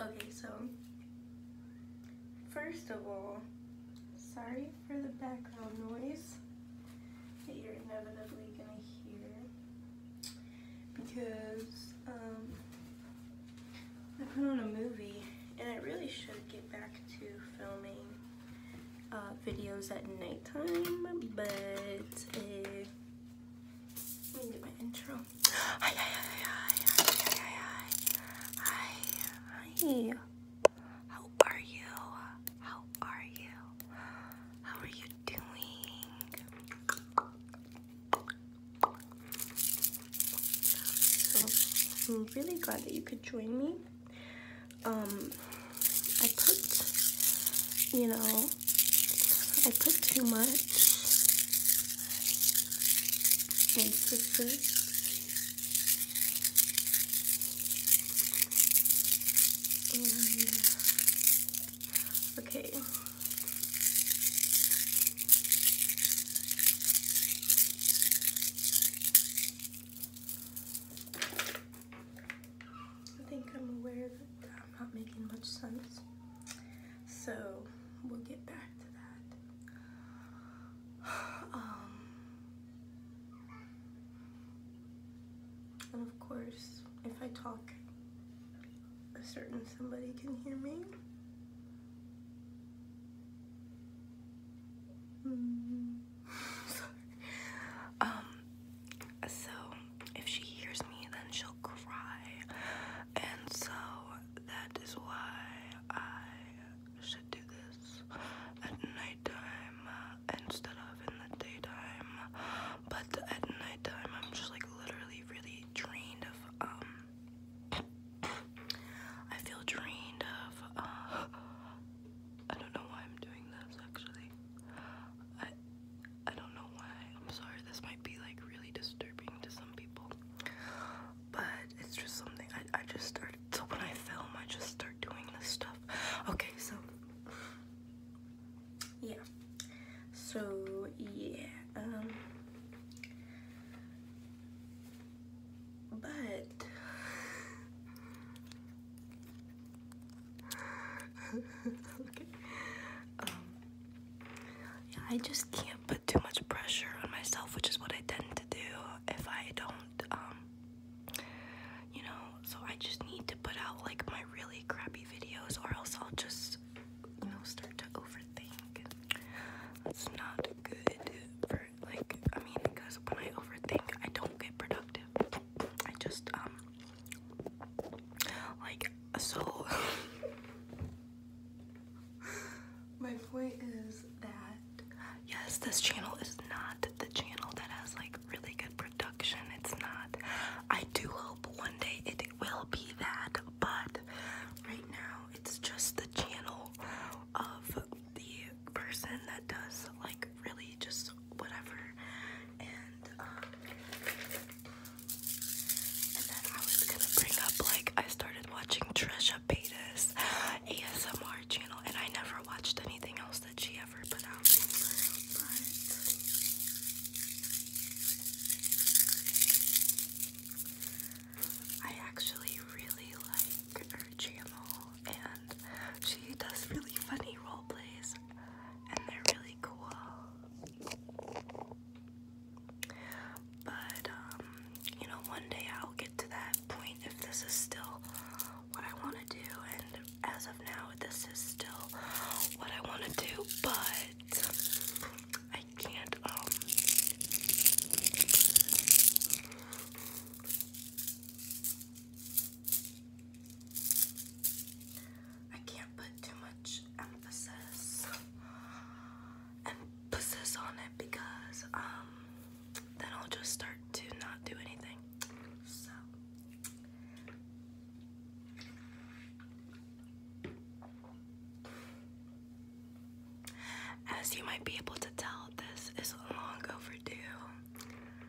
Okay, so first of all, sorry for the background noise that you're inevitably gonna hear because um, I put on a movie and I really should get back to filming uh, videos at nighttime, but let me do my intro. hi, hi, hi, hi, hi, hi, hi, hi. How are you? How are you? How are you doing? So, I'm really glad that you could join me um, I put, you know, I put too much into this. And, okay. I think I'm aware that I'm not making much sense. So we'll get back to that. Um, and of course, if I talk, a certain somebody can hear me. Hmm. Um, so if she hears me, then she'll cry, and so that is why I should do this at nighttime uh, instead of in the daytime. But at nighttime, I'm just like literally really drained of um, I feel drained of uh, I don't know why I'm doing this actually. I I don't know why. I'm sorry this might be like really disturbing to some people. But it's just something I I just started so when I film I just start doing this stuff. Okay, so yeah. So yeah, um but Um, yeah, I just can't put too much pressure on myself, which is what I tend to do if I don't, um, you know, so I just need to put out like my really crappy videos or else I'll just, you know, start to overthink. That's not good for, like, I mean, because when I overthink, I don't get productive. I just um like so my point is that yes this channel is not the channel that has like really good production it's not I do hope one day it will be that but right now it's just the channel of the person that does like really just whatever. Um, and then I was gonna bring up like I started watching Trisha Paytas ASMR channel and I never watched anything else that she ever put out. I actually really like her channel and she does really funny role plays, and they're really cool. But, um, you know, one day I'll get to that point if this is still what I want to do, and as of now, this is still what I want to do, but I can't, um, I can't put too much emphasis emphasis on it because um then I'll just start to not do anything. So as you might be able to tell, this is long overdue.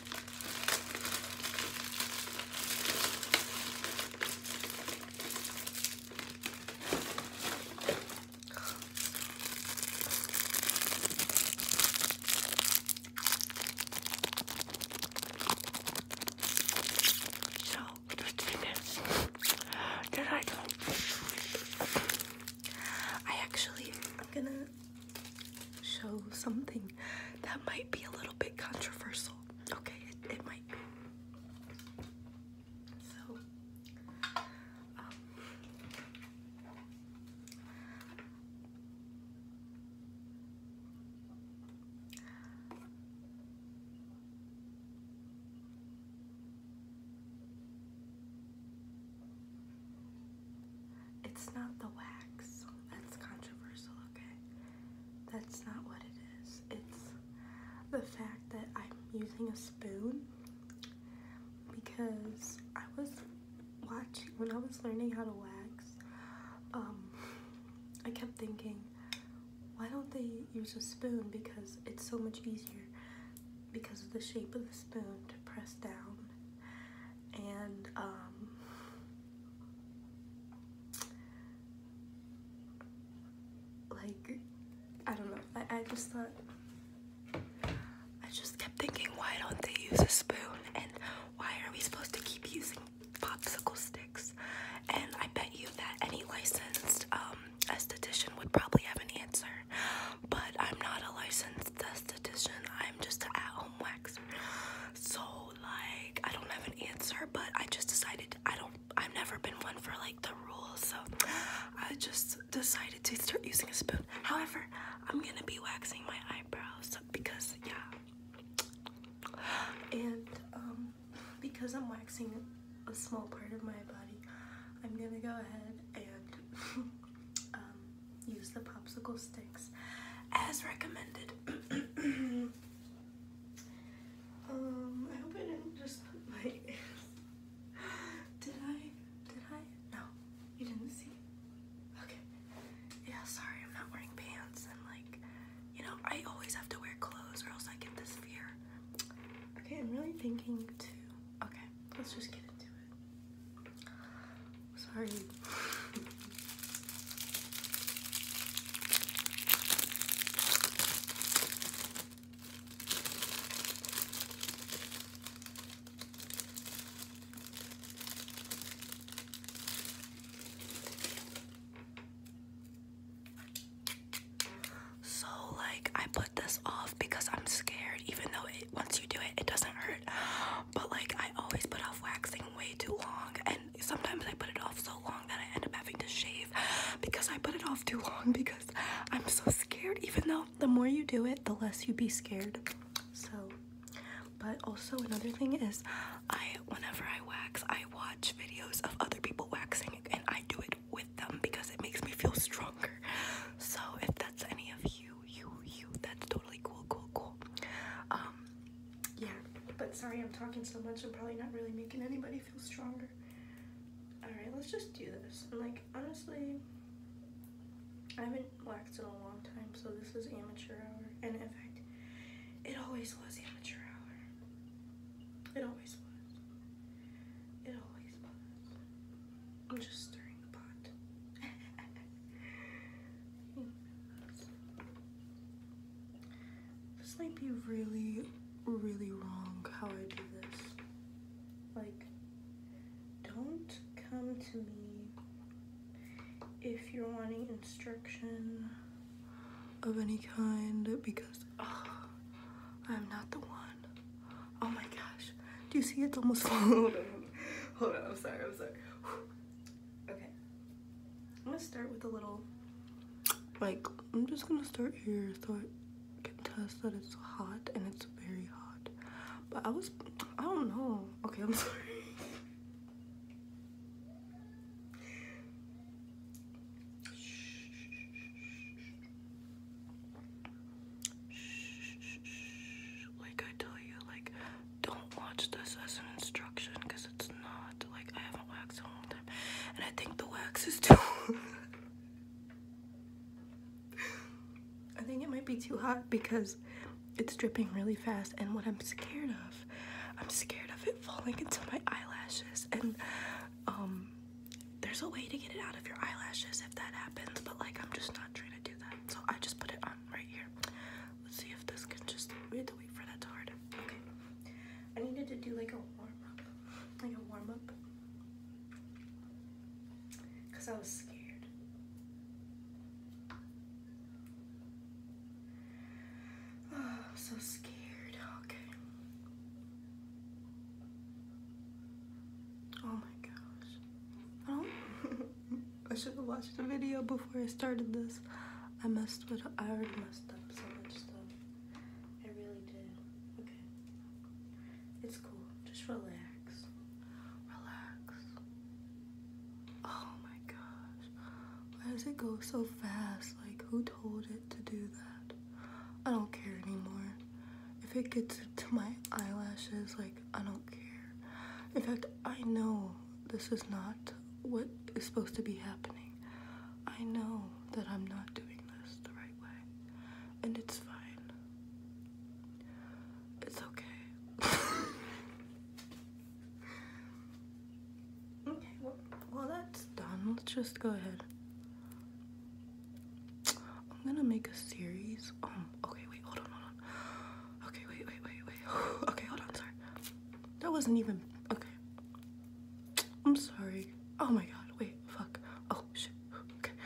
So the thing is that I do I actually am gonna show something that might be a little bit controversial. Okay, it, might So, um, it's not the wax, that's controversial okay? That's not what it is. It's the fact that I'm using a spoon because I was watching, when I was learning how to wax, um, I kept thinking, why don't they use a spoon? Because it's so much easier because of the shape of the spoon to press down and um, like I don't know. I, I just thought I just kept thinking, why don't they use a spoon? And why are we supposed to keep using popsicle sticks? And I bet you that any licensed um, esthetician would probably have an answer. But I'm not a licensed esthetician. I'm just an at-home wax. So like I don't have an answer, but I just decided I don't I've never been one for like the rules, so I just decided to start using a spoon. However, I'm gonna be waxing my eyebrows because yeah. And um, because I'm waxing a small part of my body, I'm gonna go ahead and um, Use the popsicle sticks as recommended. um, I hope I didn't just put did I? Did I? No, you didn't see. Okay. Yeah, sorry, I'm not wearing pants and like, you know, I always have to wear clothes or else I get this fear. Okay, I'm really thinking to. Okay, let's just get into it. Sorry. So, like, I put this off because I'm scared, even though it, once you do it, it doesn't hurt. But, like, I always put off waxing way too long and sometimes I put it off so long that I end up having to shave because I put it off too long because I'm so scared even though the more you do it the less you be scared so but also another thing is I whenever I wax I watch videos of other people waxing and I do it with them because it makes me feel stronger so if that's any of you you, you, That's totally cool, cool, cool. Um, yeah. But sorry, I'm talking so much. I'm probably not really making anybody feel stronger. All right, let's just do this. And like, honestly, I haven't waxed in a long time, so this is amateur hour. And in fact, it always was amateur hour. It always was. It always was. I'm just stirring the pot. This might be really, really wrong how I do this. Like, don't come to me if you're wanting instruction of any kind because oh, I'm not the one. Oh my gosh. Do you see it's almost falling? Hold on, I'm sorry, I'm sorry. Okay. I'm gonna start with a little, like, I'm just gonna start here so I can test that it's hot and it's very hot. But I was, I don't know. Okay, I'm sorry. like I tell you, like don't watch this as an instruction because it's not. Like, I haven't waxed in a long time. And I think the wax is too. I think it might be too hot because it's dripping really fast. And what I'm scared of, I'm scared of it falling into my eyelashes. And, um, there's a way to get it out of your eyelashes if that happens, but like I'm just not trying to do that. So I just put it on right here. Let's see if this can just, we have to wait for that to harden. Okay. I needed to do like a warm up, like a warm up. Cause I was scared. Oh, so scared, okay. Oh my gosh. Oh. I should have watched the video before I started this. I messed with I already messed up so much stuff. I really did. Okay. It's cool. Just relax. Relax. Oh my gosh. Why does it go so fast? Like who told it to do that? I don't care anymore. If it gets to my eyelashes, like I don't care. In fact, I know this is not what is supposed to be happening. I know that I'm not doing this the right way, and it's fine. It's okay. okay, well, well, that's done. Let's just go ahead. I'm gonna make a series. Um, okay, wait, hold on, hold on. Okay, wait, wait, wait, wait. okay, hold on, sorry. That wasn't even, okay. I'm sorry. Oh my God, wait, fuck. Oh shit, okay.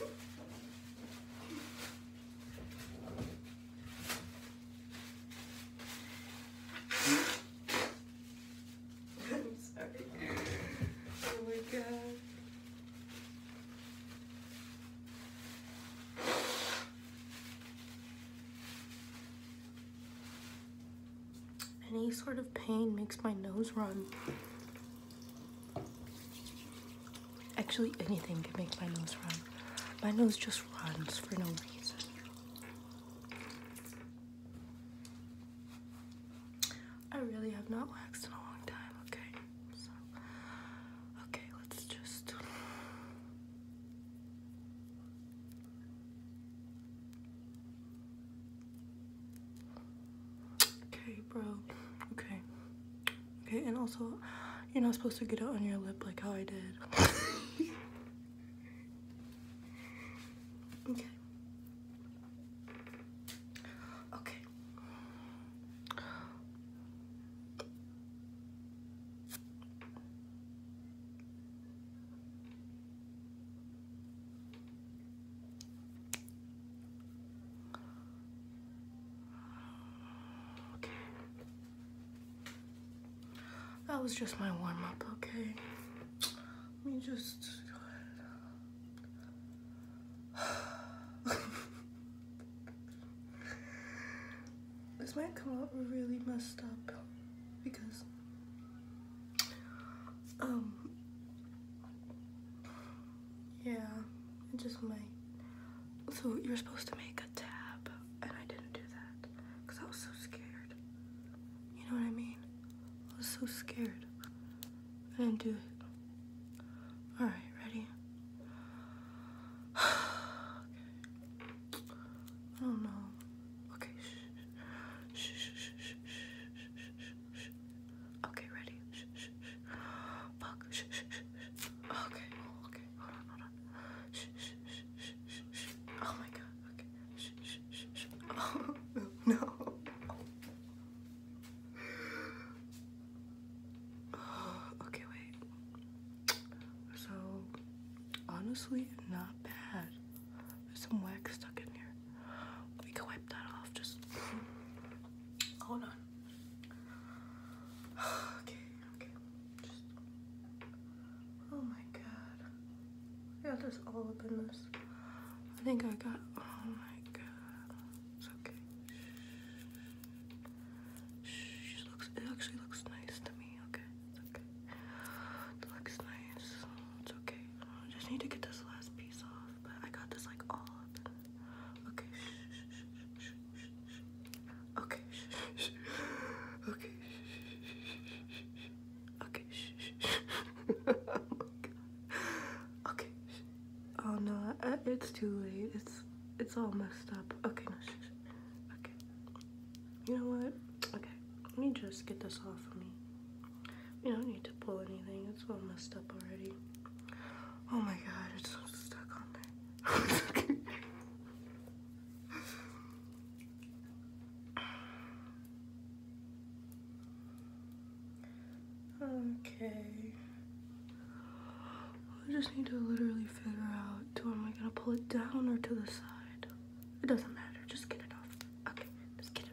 I'm sorry. Oh my god. Any sort of pain makes my nose run. Actually, anything can make my nose run. My nose just runs for no reason. I really have not waxed in a long time, okay? So, okay, let's just. Okay, bro. Okay. Okay, and also, you're not supposed to get it on your lip like how I did. okay. Okay. Okay. That was just my warm up, okay? Let me just this might come out really messed up because um yeah, it just might. So you're supposed to make a tab, and I didn't do that because I was so scared. You know what I mean? I was so scared. I didn't do it. Alright, ready? okay. I Okay, shh. Okay, ready? Fuck. Okay, okay. Oh my god, okay. Oh, no. okay, wait. So, honestly, not bad. There's some wax stuck in here. We can wipe that off, just. Hold on okay, okay. Just, oh my god. I got this all up in this. I think I got, oh my god. It's okay. Shh. it actually looks nice to me. Okay, it's okay. It looks nice. It's okay. I just need to get this last piece off, but I got this like all up. okay, shh, shh, shh, shh. Okay. Okay. Okay. oh okay. Oh no, I, uh, it's too late. It's it's all messed up. Okay, no. Okay. You know what? Okay. Let me just get this off of me. We don't need to pull anything. It's all messed up already. Oh my god, it's so stuck on there okay. I just need to literally figure out, do am I gonna pull it down or to the side? It doesn't matter, just get it off. Okay, just get it.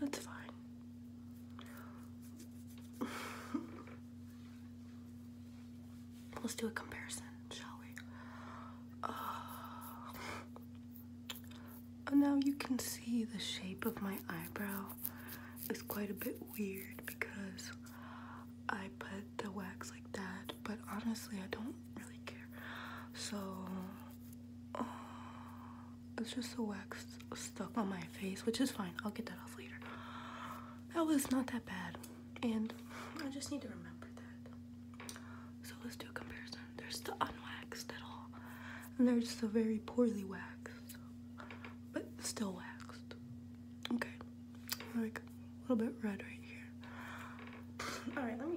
that's fine. Let's do a comparison, shall we? and uh, now you can see the shape of my eyebrow is quite a bit weird because I put the wax like that but honestly, I don't really care. So, uh, it's just the wax stuck on my face, which is fine. I'll get that off later. That was not that bad, and I just need to remember that. So, let's do a comparison. They're still unwaxed at all, and just so very poorly waxed, but still waxed. Okay, alright, a little bit red right here. All right, let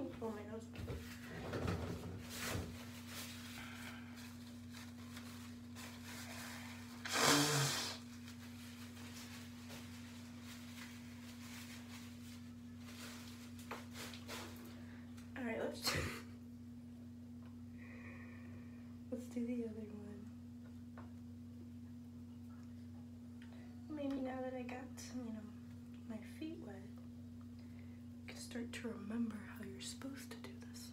let's let's do the other one. Maybe now that I got, you know, my feet wet, I can start to remember how you're supposed to do this.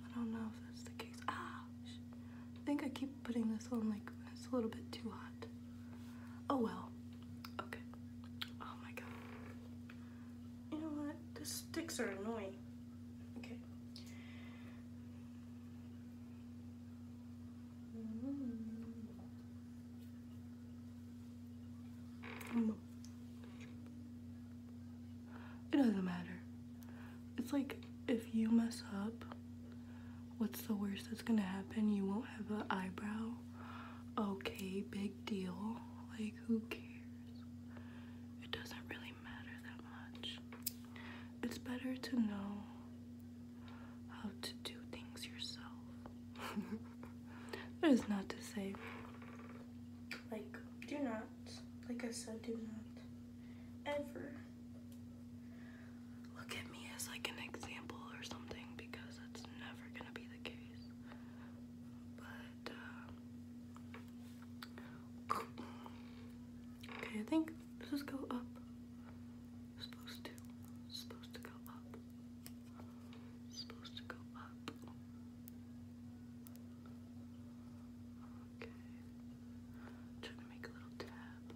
I don't know if that's the case. Ah, I think I keep putting this on like it's a little bit too hot. Oh well. Okay. Oh my god. You know what? The sticks are annoying. Okay. It doesn't matter. It's like if you mess up, what's the worst that's gonna happen? You won't have an eyebrow. Okay, big deal. Like, who cares? It doesn't really matter that much. It's better to know how to do things yourself. that is not to say, like, do not, like I said, do not ever look at me as like an example or something because that's never gonna be the case. But, uh, Okay, I think does this go up? supposed to. supposed to go up. supposed to go up. Okay. trying to make a little tab.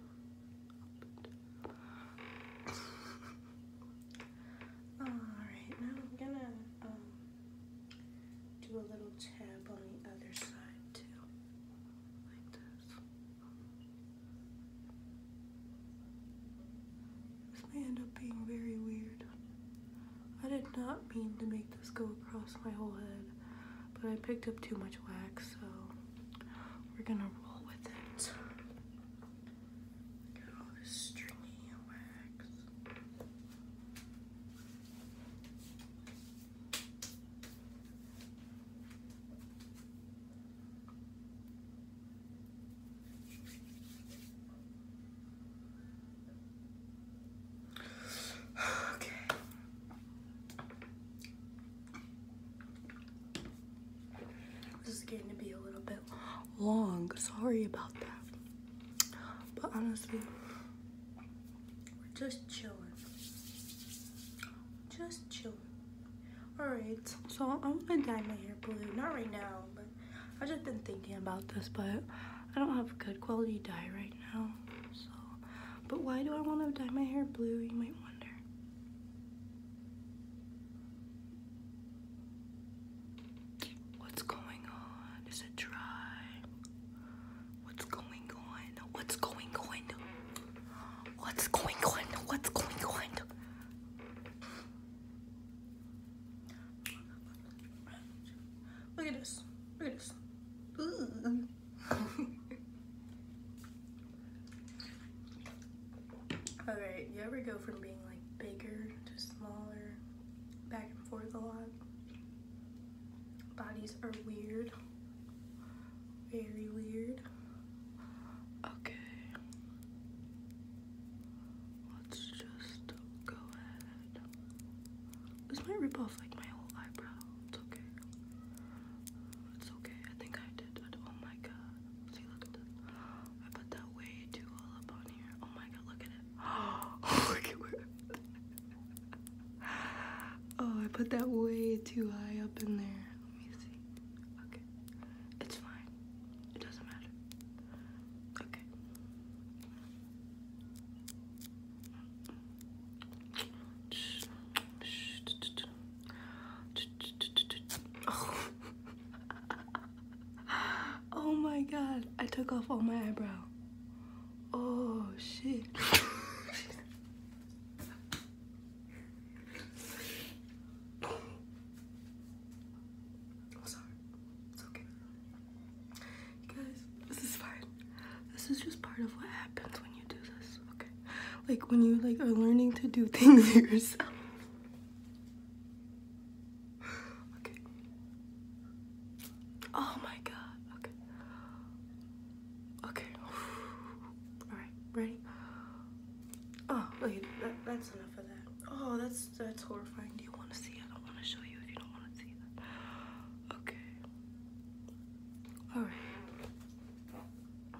Alright, now I'm gonna um, do a little tab on the other side too. Like this. This may end up being very weird. I did not mean to make this go across my whole head, but I picked up too much wax, so we're gonna roll with it. Look all this stringy wax. Okay. This is getting to be a little bit long. Sorry about that. But honestly, we're just chilling. Just chilling. Alright, so I'm gonna dye my hair blue. Not right now, but I've just been thinking about this, but I don't have good quality dye right now. So, but why do I want to dye my hair blue? You might wonder. What's going on? Is it dry? What's going on? What's going on? What's going on? What's going on? Look at this. Look at this. Alright, you ever go from being like bigger to smaller, back and forth a lot? Bodies are weird. Very weird. Okay. Let's just go ahead. This might rip off like my whole eyebrow. It's okay. It's okay. I think I did Oh my god. See, look at this. I put that way too all up on here. Oh my god, look at it. Oh, look at where oh, I put that way too high up in there. Let me see. Okay. It's fine. It doesn't matter. Okay. Oh. my god, I took off all my eyebrow. Oh shit. Oh, sorry. It's okay. guys, this is fine. This is just part of what happens when you do this, okay? Like when you like are learning to do things yourself. Okay. Oh my god. Okay. Okay. Alright, ready? Oh, okay, that's enough of that. Oh, that's that's horrifying. Do you want to see it? I don't want to show you if you don't want to see that. Okay. Alright.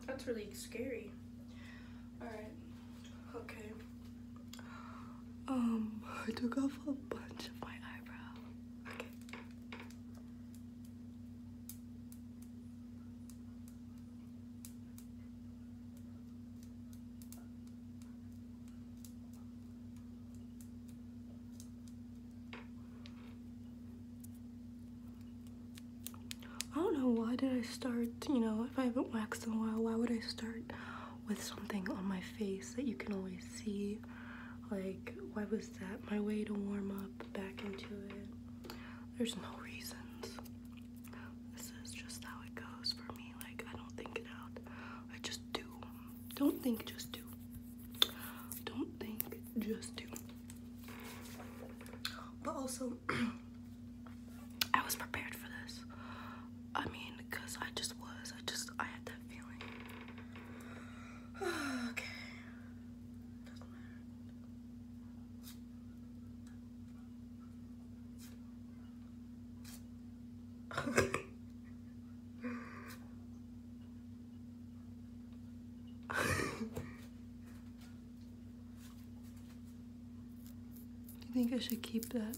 That's really scary. Alright. Okay. Um, I took off a bunch of my eyebrows. Okay. I don't know why did I start, you know, if I haven't waxed in a while, why would I start with something on my face that you can always see like, why was that my way to warm up back into it? There's no reasons. This is just how it goes for me. Like, I don't think it out. I just do. Don't think, just do. Don't think, just do. But also, I was prepared for this. I mean, because I just was. I just, I had that feeling okay. Doesn't matter. I think I should keep that.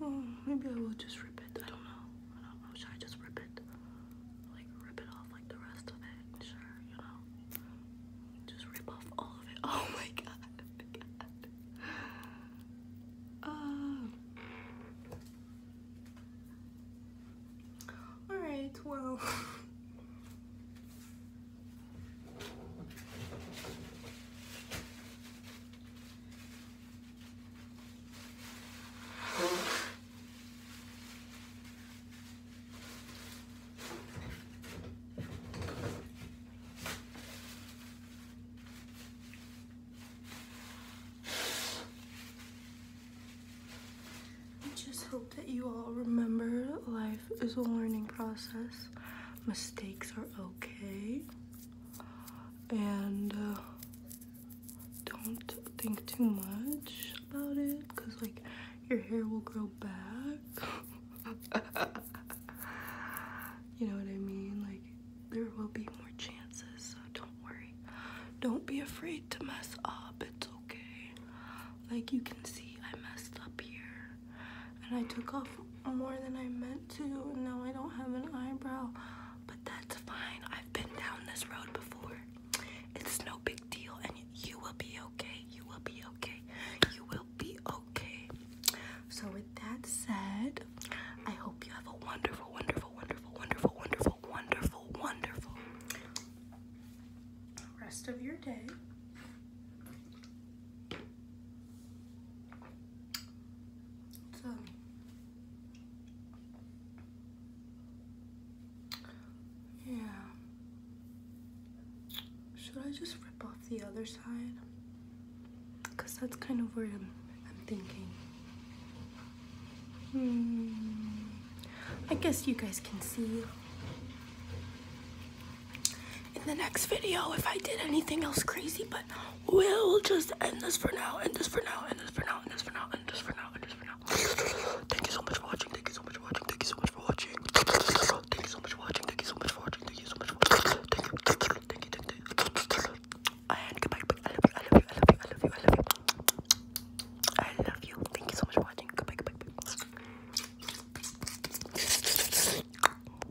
Oh, maybe I will just rip it. I don't know. I Should I just rip it? Like rip it off like the rest of it? Sure, you know. Just rip off all of it. Oh my god. Oh. Um, Alright, well. I just hope that you all remember life is a learning process. Mistakes are okay and uh, don't think too much about it because like your hair will grow back you know what I mean like there will be more chances so don't worry don't be afraid to mess up it's okay like you can see I messed up here and I took off more than I meant to. and Now I don't have an eyebrow, but that's fine. I've been down this road before. It's no big deal, and you will be okay. You will be okay. You will be okay. So with that said, I hope you have a wonderful, wonderful, wonderful, wonderful, wonderful, wonderful, wonderful rest of your day. It's yeah. Should I just rip off the other side? Cause that's kind of where I'm thinking. Hmm. I guess you guys can see in the next video if I did anything else crazy, but we'll just end this for now, end this for now, end this for now, end this for now, end this for now, end this for now. Thank you so much for watching, thank you so much for watching, thank you so much for watching. Thank you so much for watching, thank you so much for watching, thank you so much for watching. Thank you, thank you, thank you, thank you. And goodbye, I love you, I love you, I love you, I love you, I love you. I love you. Thank you so much for watching. Goodbye, goodbye, goodbye.